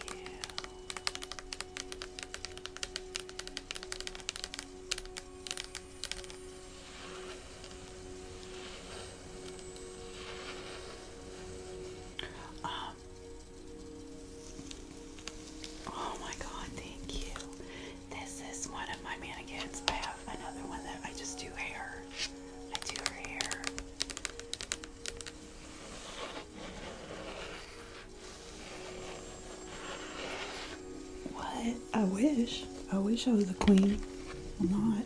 Um, oh my god, thank you. This is one of my mannequins. I have another one that I just do hair. I do her hair. What? I wish. I wish I was a queen. I'm not.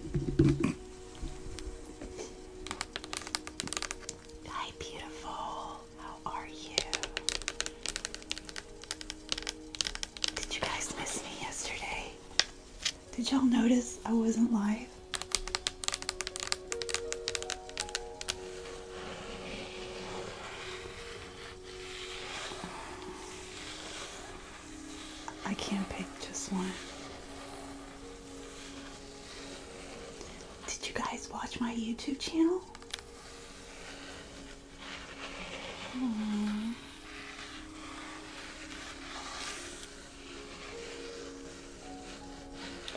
Hi, beautiful. How are you? Did you guys miss me yesterday? Did y'all notice I wasn't live? I can't pick just one. Did you guys watch my YouTube channel?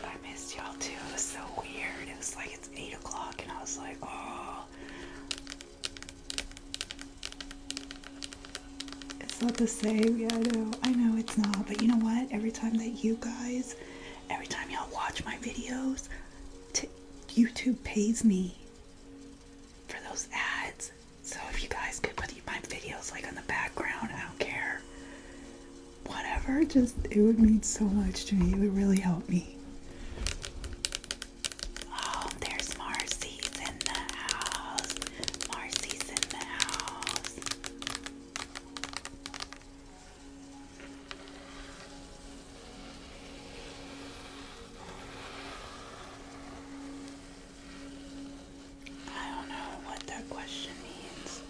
I missed y'all too. It was so weird. It was like it's 8 o'clock, and I was like, oh. It's not the same. Yeah, I know. I know it's not. But you know what? Every time that you guys, every time y'all watch my videos, YouTube pays me for those ads. So if you guys could put my videos like on the background, I don't care whatever. Just it would mean so much to me. It would really help me. Oh, there's Marcy's in the house. Marcy's in the house. I don't know what that question means.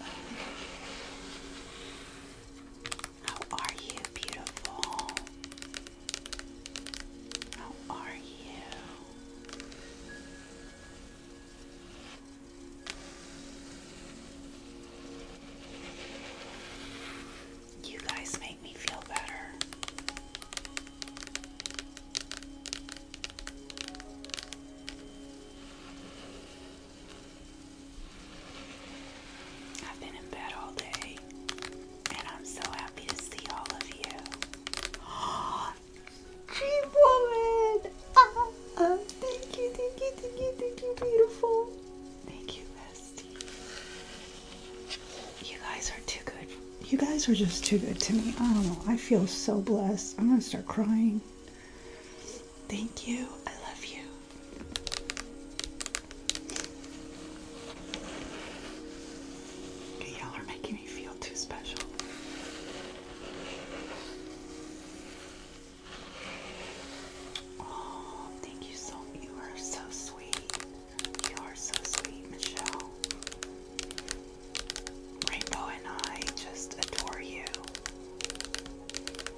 How are you, beautiful? How are you? You guys make me feel better. I've been in bed all day, and I'm so happy to see all of you. Dream woman! Ah, ah, thank you, thank you, thank you, thank you, beautiful. Thank you, bestie. You guys are too good. You guys are just too good to me. I don't know. I feel so blessed. I'm gonna start crying. Thank you. I love you. you are making me feel too special. Oh, thank you so you are so sweet. You are so sweet, Michelle. Rainbow and I just adore you.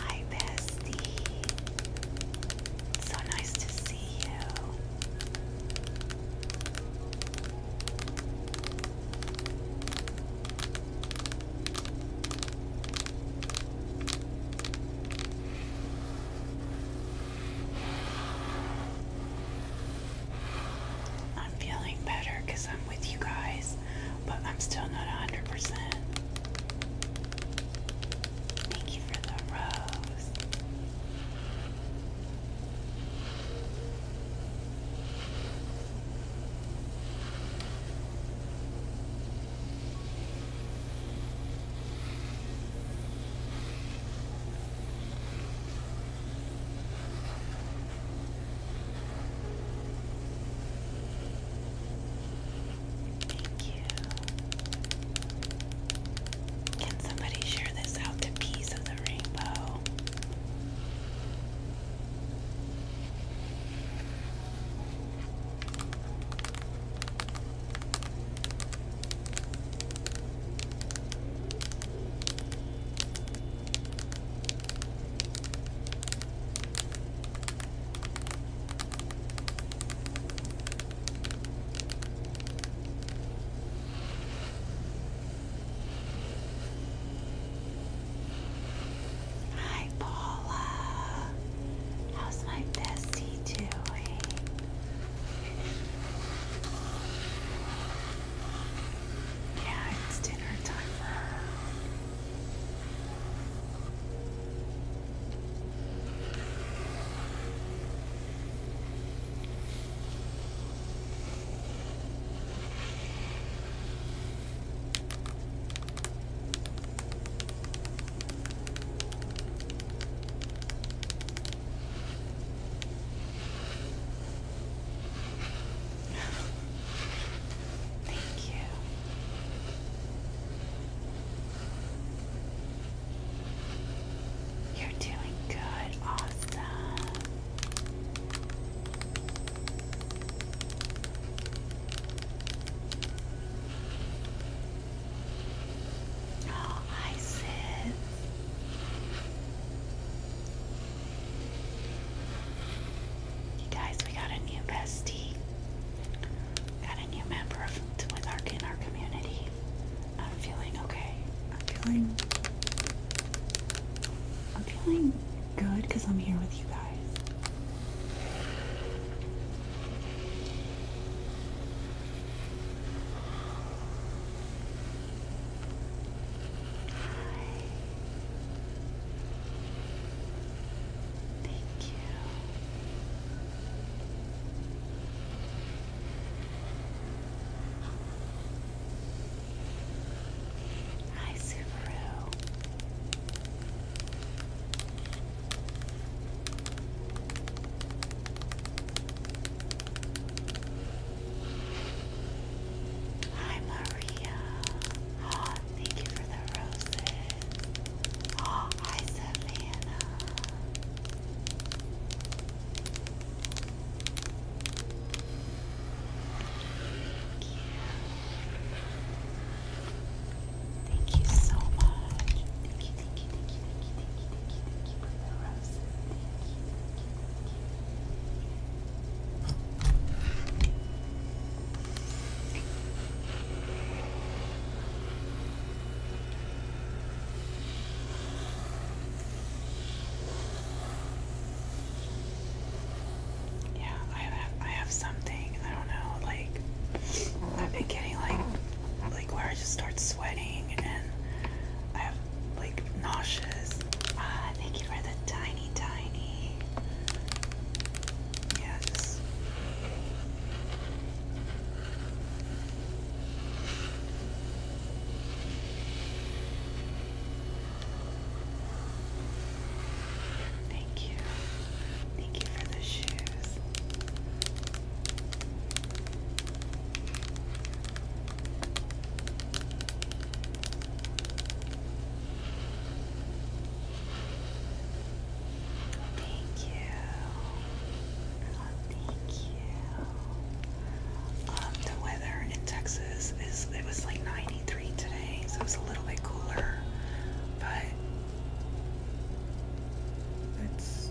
Hi, bestie. So nice to see you. I'm feeling better because I'm with you guys, but I'm still not 100%. Thank you for the rose. Thank you. Can somebody share this out to piece of the rainbow? Hi, Paula. How's my bestie doing? Yeah, it's dinner time Thank you. You're doing good. Awesome. Oh, hi, Sid. You guys, we got a new bestie. Got a new member of, with in our community. I'm feeling okay. I'm feeling. I'm feeling good because I'm here with you guys. Thank you. Hi, Subaru. Hi, Maria. Oh, thank you for the roses. Oh, hi, Savannah. Thank you. Thank you so much. Thank you, thank you, thank you, thank you, thank you, thank you, for the roses. Yeah, I have I have something I don't know like I've been getting like like where I just start sweating and I have like nauseous. Ah, thank you for the tiny, tiny. Yes. Thank you. Thank you for the shoes. Thank you. thank you. Um, the weather in Texas is, it was like 93 today, so it was a little bit cooler, but it's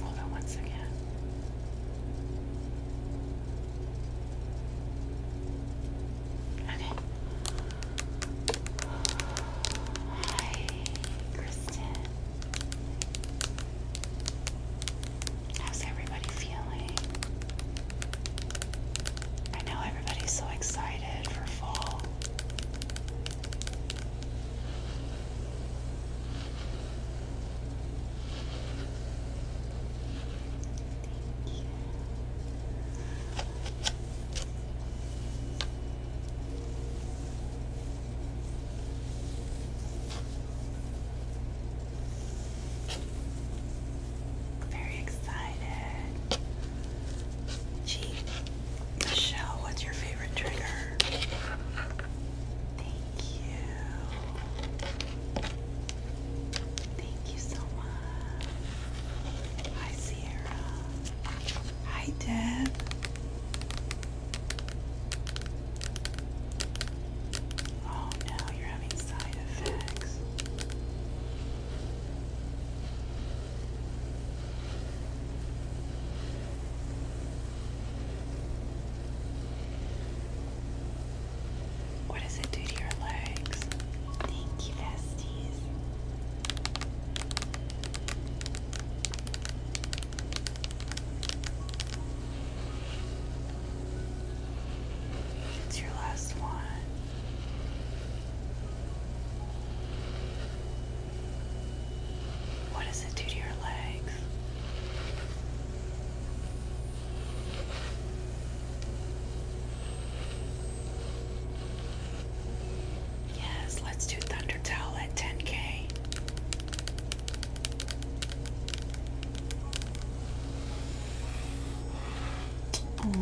Hold on Okay. Hi, Kristen. How's everybody feeling? I know everybody's so excited for fall. Very excited. Gee, Michelle, what's your favorite trigger? Thank you. Thank you so much. Hi, Sierra. Hi, Deb. Oh no, you're what does it do to your legs? Thank you, besties. It's your last one. What does it do to your legs? Yes, let's do Thunder Towel at 10k. Oh,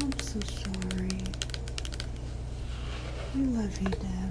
I'm so sorry. I love you, Dad.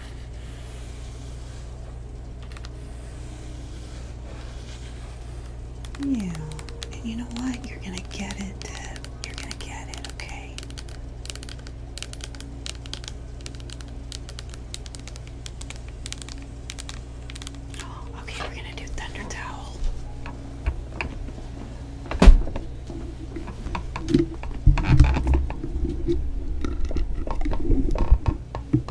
Yeah, and you know what? You're gonna get it, You're gonna get it, okay? Oh, okay, we're gonna do Thunder Towel.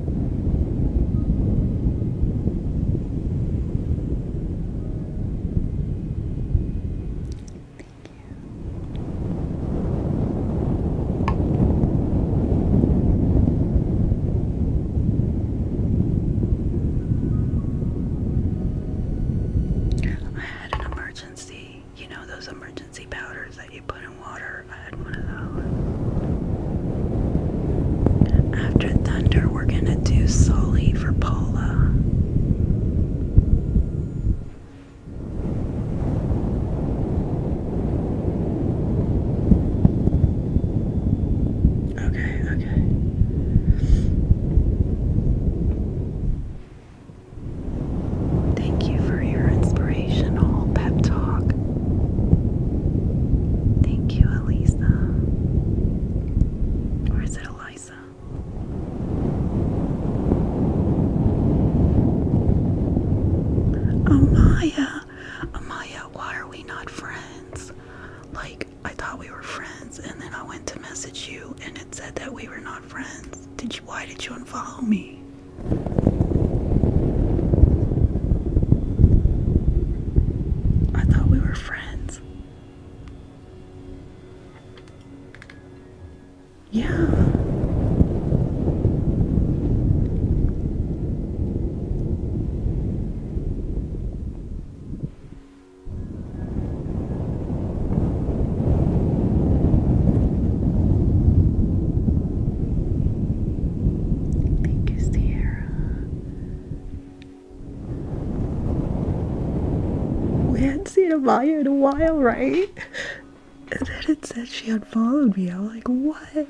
I had an emergency, you know, those emergency powders that put in water. I had one of those. After thunder, we're gonna do Solly for Paula. Okay, okay. Thank you for your inspiration. Thank you, Elisa. Or is it Eliza? Amaya, Amaya, why are we not friends? Like, I thought we were friends, and then I went to message you, and it said that we were not friends. Did you? Why did you unfollow me? I thought we were friends. Yeah. Thank you, Sierra. We hadn't seen a Amaya in a while, right? And then it said she unfollowed me. I was like, what?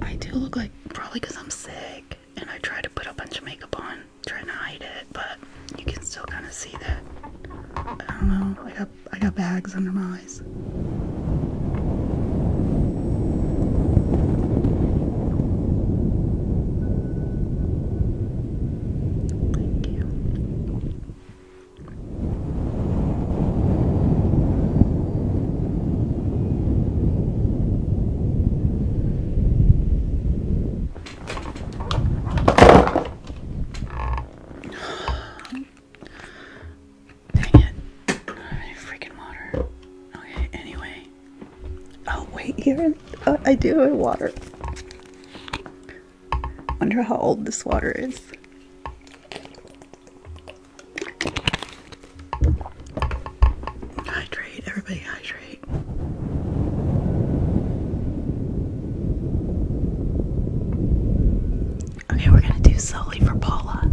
I do look like probably because I'm sick and I try to put a bunch of makeup on trying to hide it, but you can still kind of see that. I don't know. I got I got bags under my eyes. Thank you. Dang it. I need freaking water. Okay, anyway. Oh wait, here uh, I do have water. Wonder how old this water is. Hydrate, everybody hydrate. Okay, we're gonna do solely for Paula.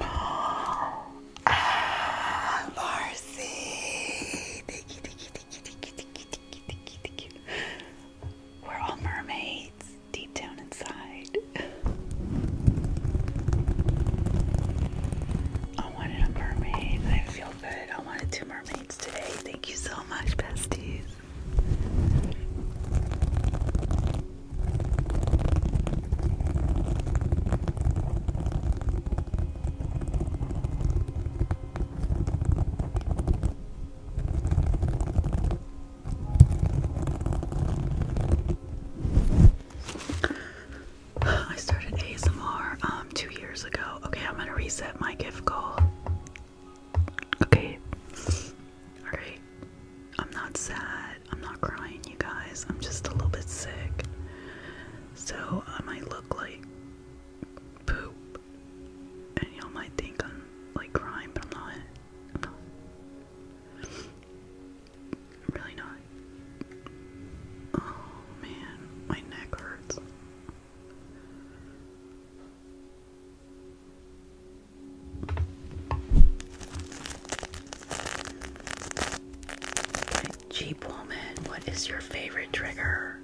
Ah, We're all mermaids deep down inside. I wanted a mermaid. I feel good. I wanted two mermaids today. Thank you so much, besties. I started ASMR um, two years ago. Okay, I'm gonna reset my gift goal. Okay. Alright. I'm not sad. I'm not crying, you guys. I'm just a little bit sick. So I might look like poop. And y'all might think I'm like crying, but I'm not. really not. Oh man, my neck hurts. Jeep woman, what is your favorite trigger?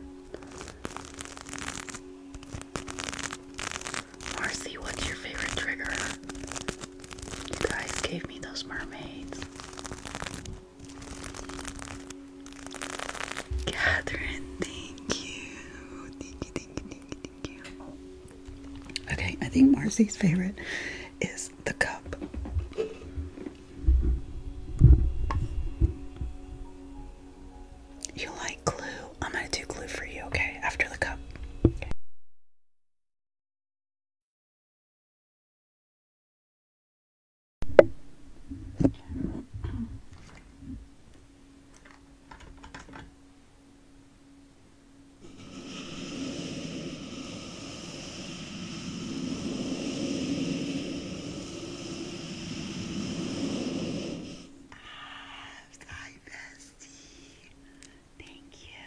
Marcy, what's your favorite trigger? You guys gave me those mermaids. Catherine, thank you. Okay, I think Marcy's favorite is the cup. You like glue? I'm gonna do glue for you, okay? After the cup. Abs, hi bestie. Thank you.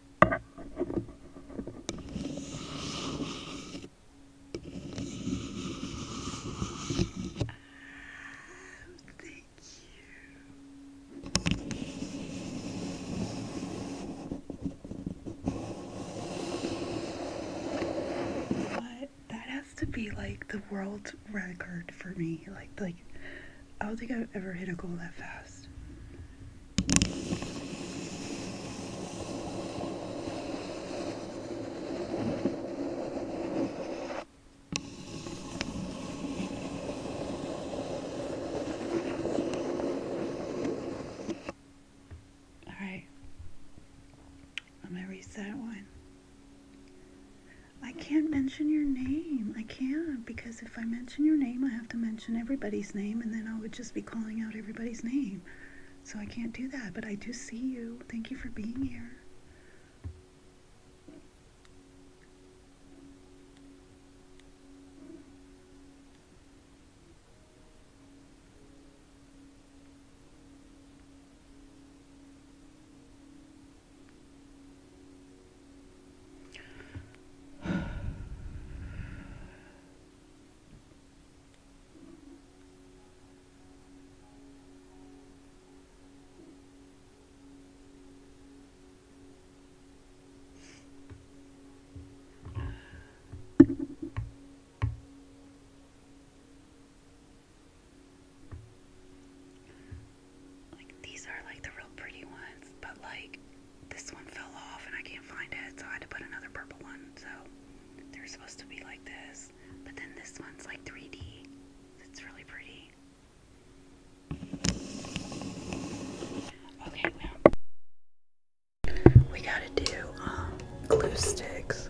But that has to be like the world record for me. Like like I don't think I've ever hit a goal that fast. All right, I'm gonna reset one. I can't mention your name. I can't because if I mention your name, I have to mention everybody's name, and then I would just be calling out everybody's name. So I can't do that, but I do see you. Thank you for being here. Like these are like the real pretty ones, but like this one fell off and I can't find it, so I had to put another purple one. So they're supposed to be like this, but then this one's like 3D. It's really pretty. Okay, well, we gotta do um, glue sticks.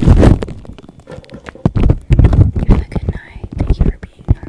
You have a good night. Thank you for being here.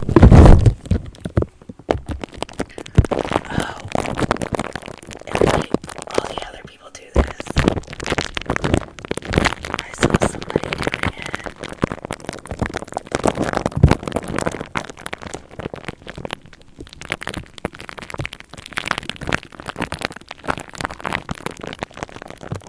Oh, and all the other people do this. I saw somebody doing it.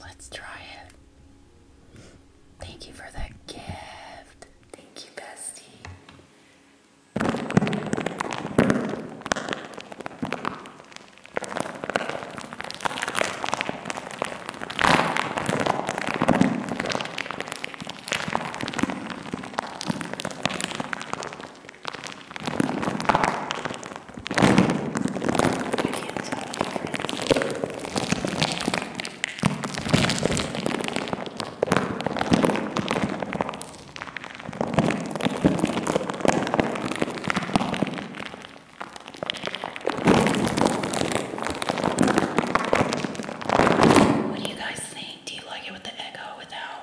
Let's try it. Thank you for that gift. Thank you, bestie videos of different. What do you guys think? Do you like it with the echo or without?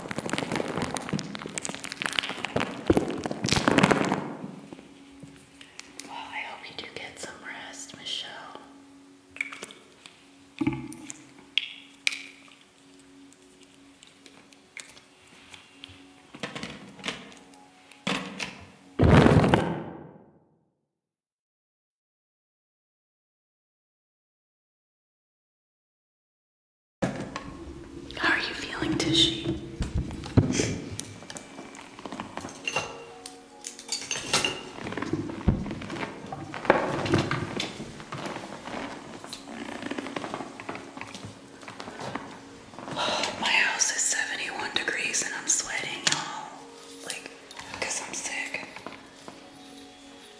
Well, I hope you do get some rest, Michelle. How are you feeling, Tishy? my house is 71 degrees and I'm sweating, y'all. Like, because I'm sick.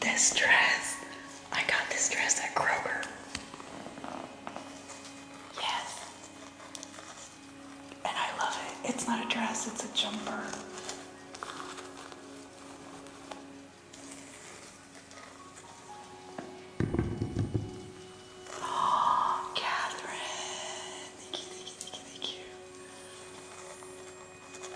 This dress, I got this dress at Kroger. Yes. And I love it. It's not a dress, it's a jumper. Oh, Catherine. Thank you, thank you, thank you,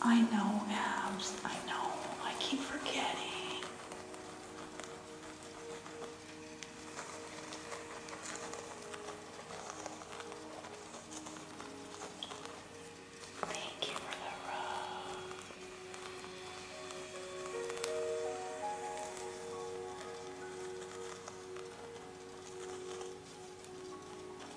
I know, abs. I know. I keep forgetting. Thank you for the rub.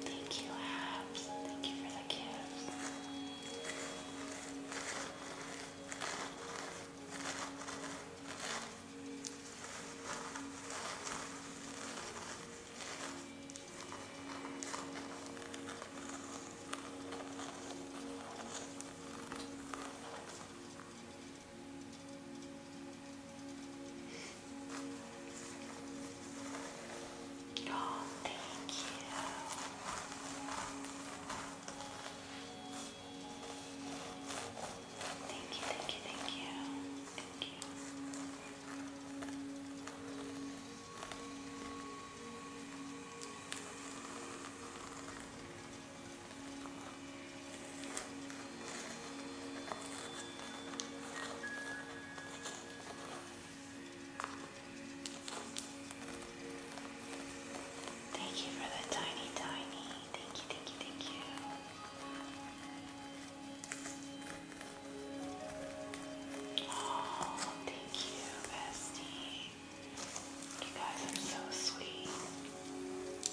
Thank you, Abs. Thank you for the gifts. Oh, thank you. Thank you, thank you, thank you. Thank you. Thank you for the tiny, tiny. Thank you, thank you, thank you. Oh, thank you, bestie. You guys are so sweet.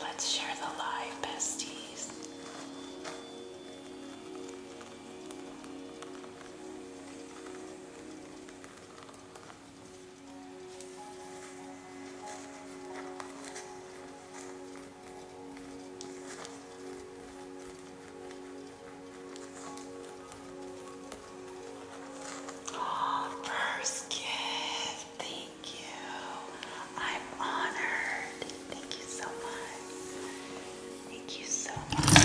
Let's share the live besties. first gift. Thank you. I'm honored. Thank you so much. Thank you so much.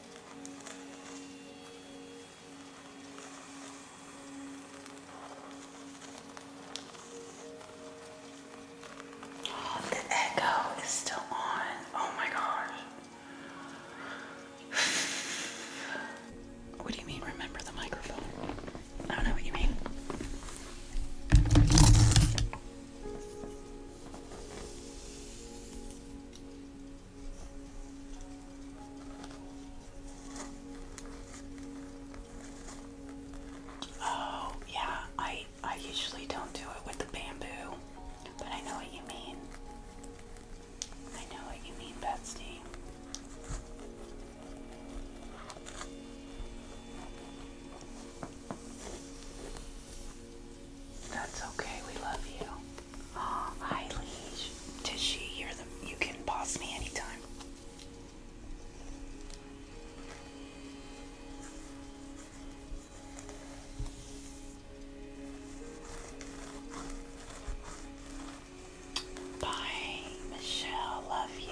Oh, the echo is still on. Oh my gosh. What do you mean, remember the microphone? I don't know what you mean. Oh, yeah, I I usually don't do it with the bamboo, but I know what you mean. I know what you mean, Betsy. That's okay. We love you. hi, Leash. Tishy, you're the. You can pause me anytime. Bye, Michelle. Love you.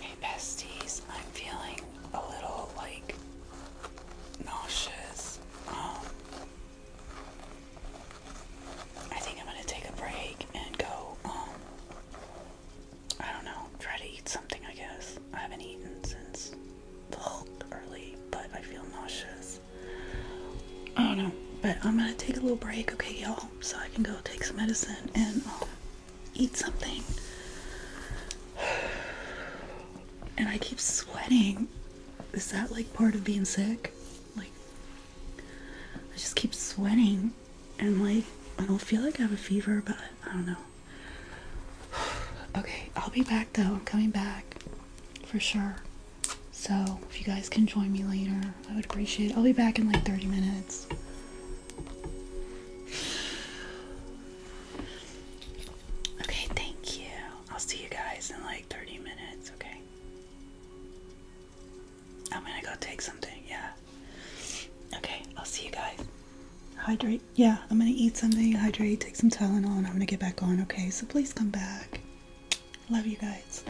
Hey besties, I'm feeling a little like nauseous. Um, I think I'm gonna take a break and go, um, I don't know, try to eat something, I guess. I haven't eaten since early, but I feel nauseous. I don't know, but I'm gonna take a little break, okay, y'all, so I can go take some medicine and, um, eat something. And I keep sweating. Is that like part of being sick? Like, I just keep sweating. And like, I don't feel like I have a fever, but I don't know. okay, I'll be back though. I'm coming back for sure. So if you guys can join me later, I would appreciate I'll be back in like 30 minutes. Okay, thank you. I'll see you guys in like 30 minutes, okay? I'm gonna go take something, yeah. Okay, I'll see you guys. Hydrate, yeah, I'm gonna eat something, hydrate, take some Tylenol, and I'm gonna get back on, okay? So please come back. Love you guys.